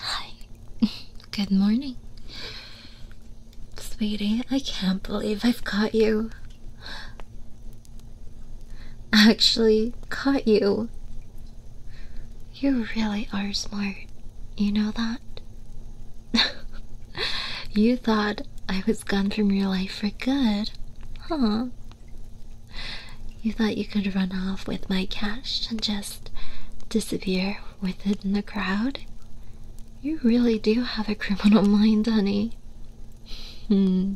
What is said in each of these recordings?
Hi. Good morning. Sweetie, I can't believe I've caught you. Actually, caught you. You really are smart. You know that? you thought I was gone from your life for good, huh? You thought you could run off with my cash and just disappear with it in the crowd? You really do have a criminal mind, honey. Hmm.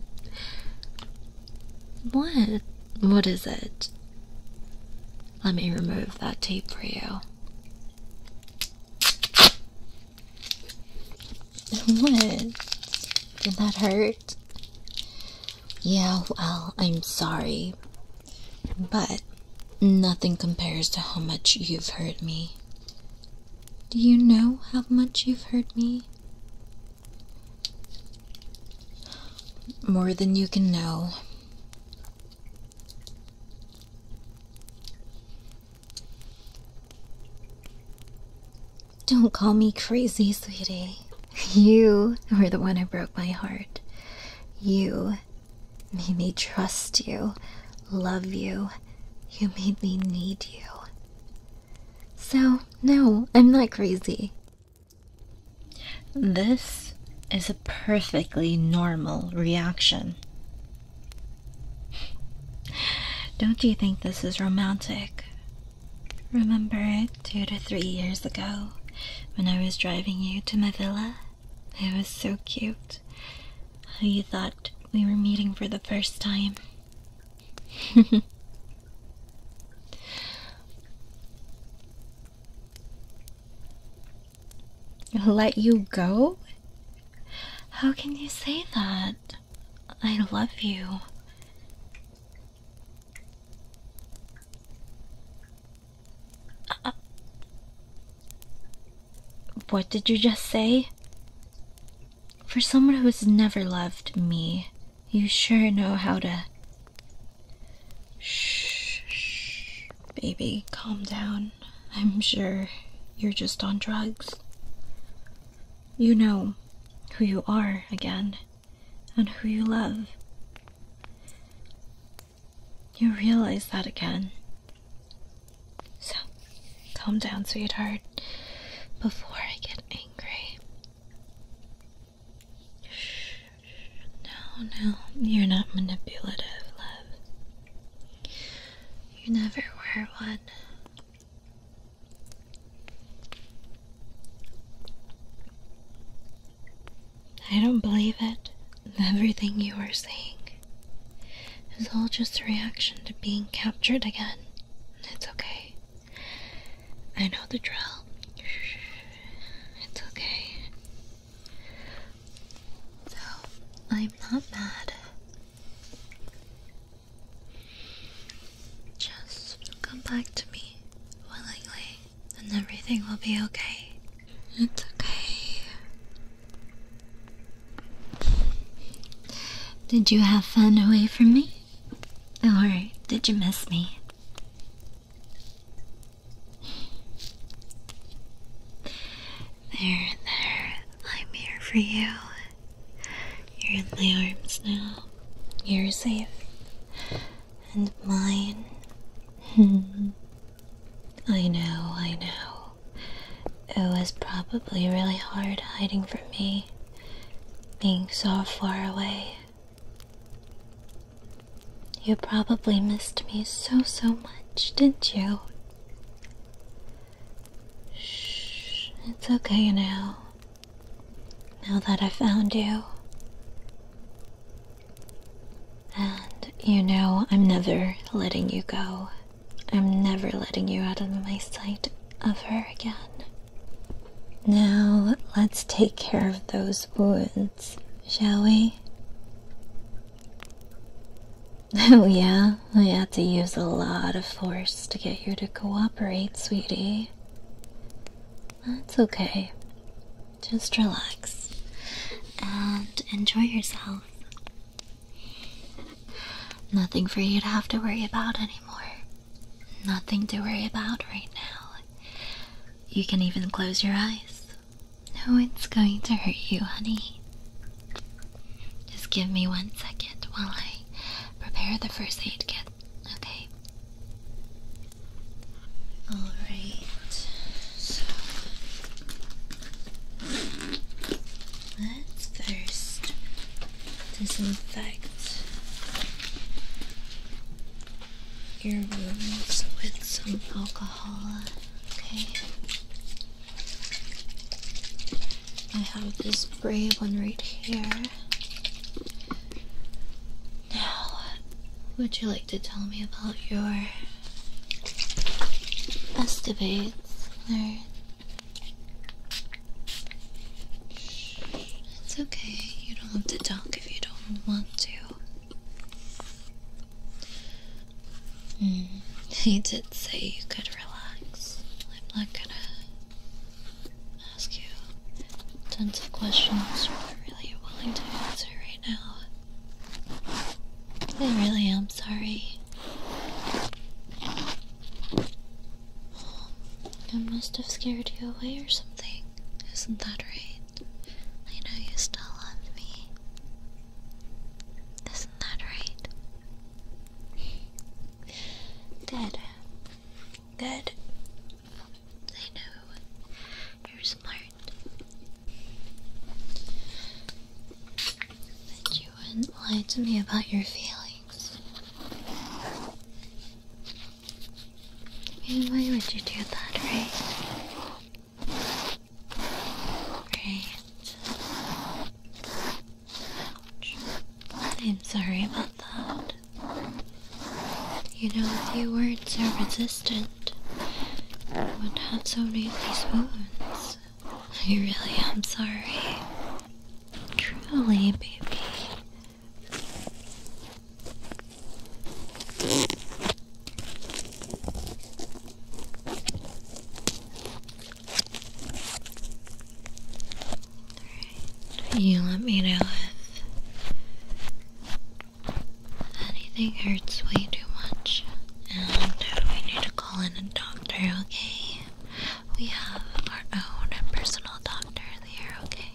What? What is it? Let me remove that tape for you. What? Did that hurt? Yeah, well, I'm sorry. But nothing compares to how much you've hurt me. Do you know how much you've hurt me? More than you can know. Don't call me crazy, sweetie. You were the one who broke my heart. You made me trust you, love you. You made me need you. So, no, I'm not crazy. This is a perfectly normal reaction. Don't you think this is romantic? Remember it two to three years ago when I was driving you to my villa? It was so cute. How you thought we were meeting for the first time. Let you go? How can you say that? I love you what did you just say? For someone who's never loved me, you sure know how to. shh, baby, calm down. I'm sure you're just on drugs. You know who you are again and who you love. You realize that again. So, calm down, sweetheart, before I get angry. no, no, you're not manipulative, love. You never were one. I don't believe it. Everything you are saying is all just a reaction to being captured again. It's okay. I know the drill. It's okay. So, I'm not mad. Just come back to me willingly, and everything will be okay. It's okay. Did you have fun away from me? Or did you miss me? There, there, I'm here for you. You're in my arms now. You're safe. And mine. Hmm. I know, I know. It was probably really hard hiding from me, being so far away. You probably missed me so, so much, didn't you? Shh, it's okay now. Now that I found you. And you know, I'm never letting you go. I'm never letting you out of my sight ever again. Now, let's take care of those wounds, shall we? Oh, yeah, I oh, had to use a lot of force to get you to cooperate, sweetie. That's okay. Just relax and enjoy yourself. Nothing for you to have to worry about anymore. Nothing to worry about right now. You can even close your eyes. No it's going to hurt you, honey. Just give me one second while I prepare the first aid kit, okay? Alright, so let's first disinfect your wounds with some alcohol, okay? I have this brave one right here. Now, would you like to tell me about your escapades, Alright. It's okay, you don't have to talk if you don't want to. Mm. he did say you could relax. I'm not gonna ask you tons of questions you're really willing to answer right now. I really am sorry. Um, I must have scared you away or something. Isn't that right? I know you still love me. Isn't right? Good. Good. I know. You're smart. That you wouldn't lie to me about your feelings. why would you do that, right? Great. Ouch. I'm sorry about that. You know, if you weren't so resistant, I wouldn't have so many of these wounds. I really am sorry. Truly, baby you let me know if anything hurts way too much and we need to call in a doctor, okay? We have our own personal doctor there, okay?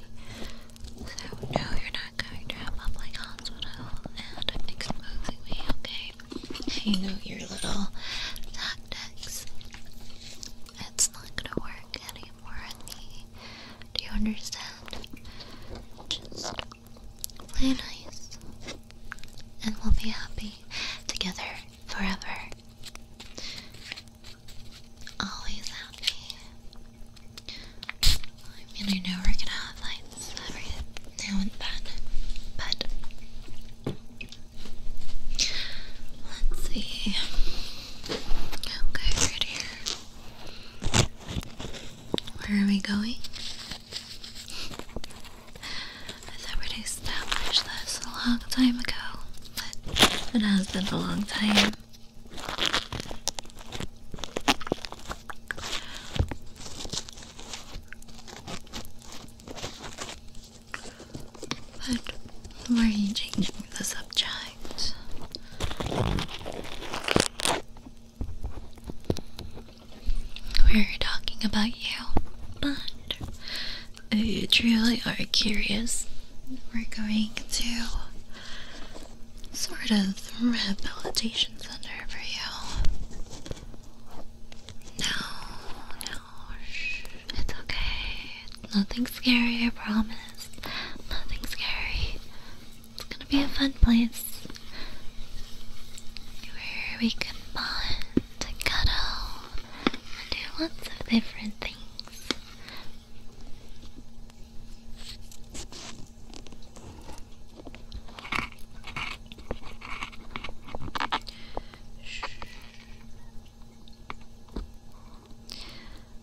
So, no, you're not going to have a public hospital and exposing me, okay? You know your little tactics. It's not gonna work anymore Do you understand? Just play nice, and we'll be happy together forever. Always happy. I mean, I know we're gonna have lights every now and then, but let's see. Okay, right here. Where are we going? I thought we'd establish this a long time ago, but it has been a long time why are you changing the subject? We are talking about you, but if uh, you truly are curious, we're going to sort of rehabilitation center for you. No, no, shh. It's okay. nothing scary, I promise. Nothing scary. It's gonna be a fun place where we can bond cuddle and do lots of different things.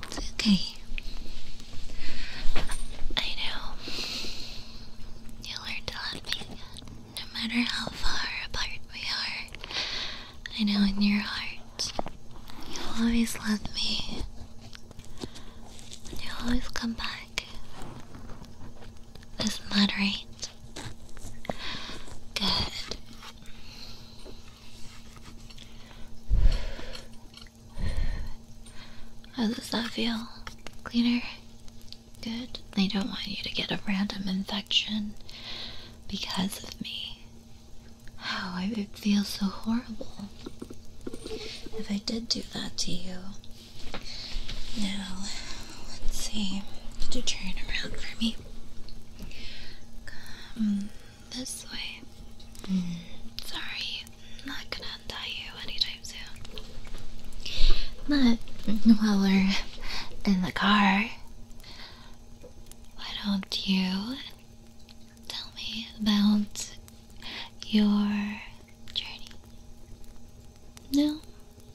It's okay. I know you learn to love me no matter how far apart we are. I know in your heart you'll always love me you always come back. is moderate Good. How does that feel? Cleaner? Good. They don't want you to get a random infection because of me. Oh, it would feel so horrible if I did do that to you. Now, let's see. Could you turn around for me? Come this way. Hmm. Sorry, I'm not gonna untie you anytime soon. But while we're in the car, why don't you Tell me about your journey. No,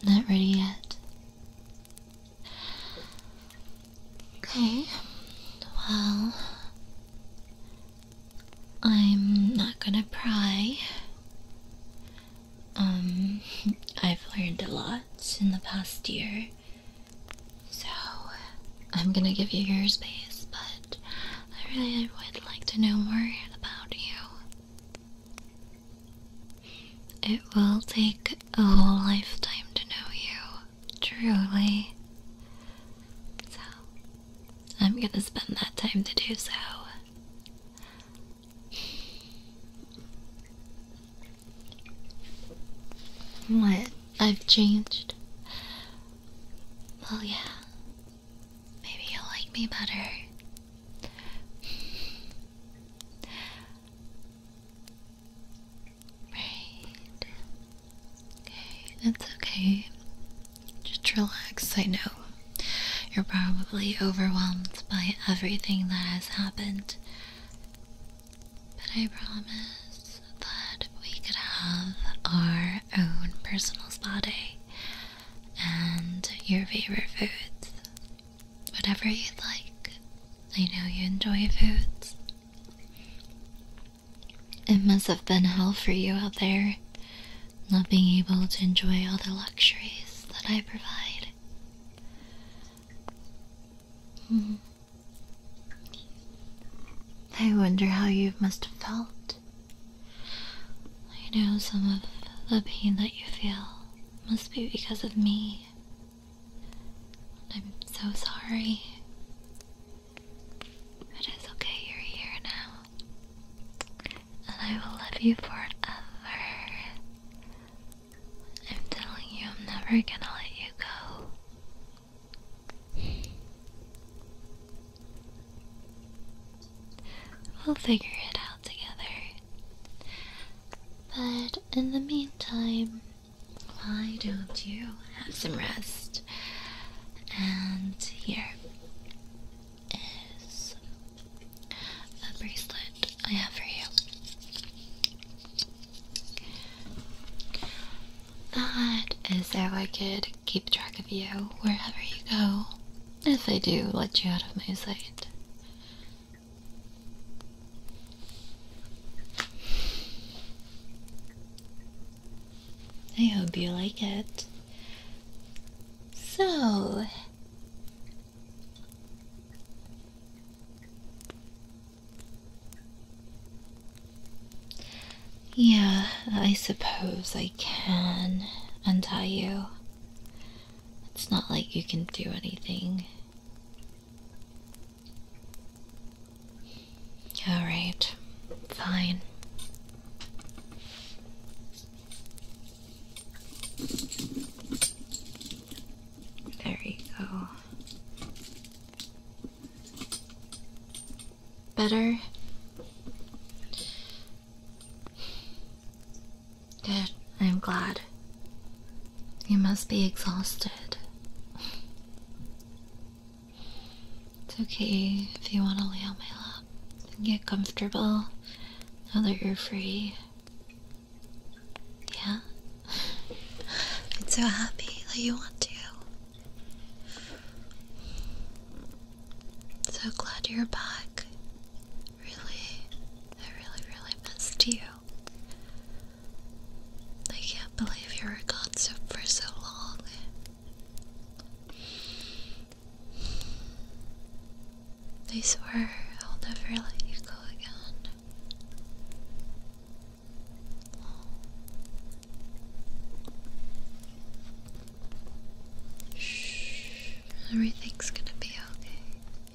not ready yet. Okay, well, I'm not gonna pry. Um, I've learned a lot in the past year, so I'm gonna give you your space, but I really would like to know more about you. It will take a whole lifetime to know you, truly. So, I'm gonna spend that time to do so. What? I've changed. Well, yeah. Maybe you'll like me better. right. Okay, that's okay. Just relax. I know you're probably overwhelmed by everything that has happened. But I promise that we could have our own personal spa day and your favorite foods. Whatever you'd like. I know you enjoy foods. It must have been hell for you out there, not being able to enjoy all the luxuries that I provide. Hmm. I wonder how you must have felt. I know some of the pain that you feel must be because of me. I'm so sorry. It is okay, you're here now. And I will love you forever. I'm telling you, I'm never gonna let you go. We'll figure it out together. But in the meantime, why don't you have some rest? And here is a bracelet I have for you. That is how I could keep track of you wherever you go, if I do let you out of my sight. I hope you like it. So, yeah, I suppose I can untie you. It's not like you can do anything. Alright, fine. There you go. Better? Good, I'm glad. You must be exhausted. It's okay if you want to lay on my lap and get comfortable now that you're free. Yeah? I'm so happy that you want to. So glad you're back. Really, I really, really missed you. I can't believe you were gone so, for so long. I swear I'll never let you go again. Shh, everything's gonna be okay.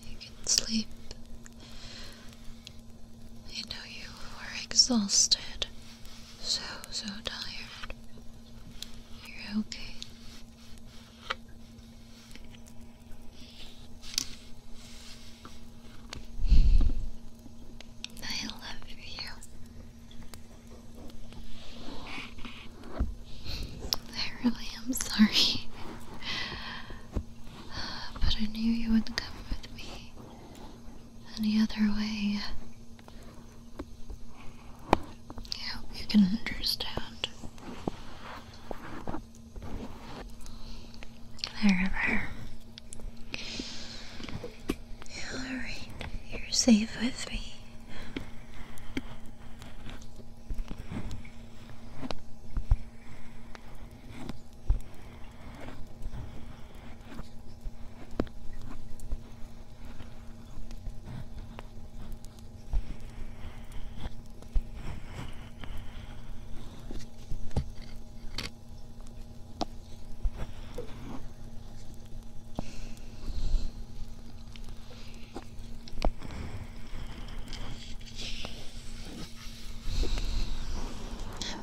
You can sleep. You know you were exhausted, so, so tired. You're okay. I love you. I really am sorry. But I knew you wouldn't come with me any other way. I hope you can understand. There, there. you're safe with me.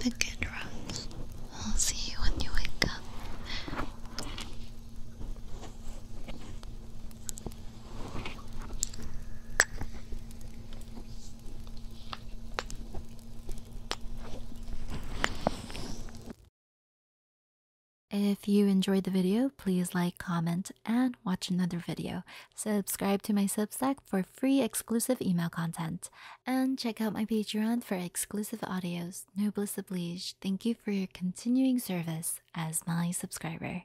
Have a good rest. I'll see you when you wake up. If you enjoyed the video, please like, comment, and watch another video. Subscribe to my Substack for free exclusive email content. And check out my Patreon for exclusive audios. Noblesse oblige. Thank you for your continuing service as my subscriber.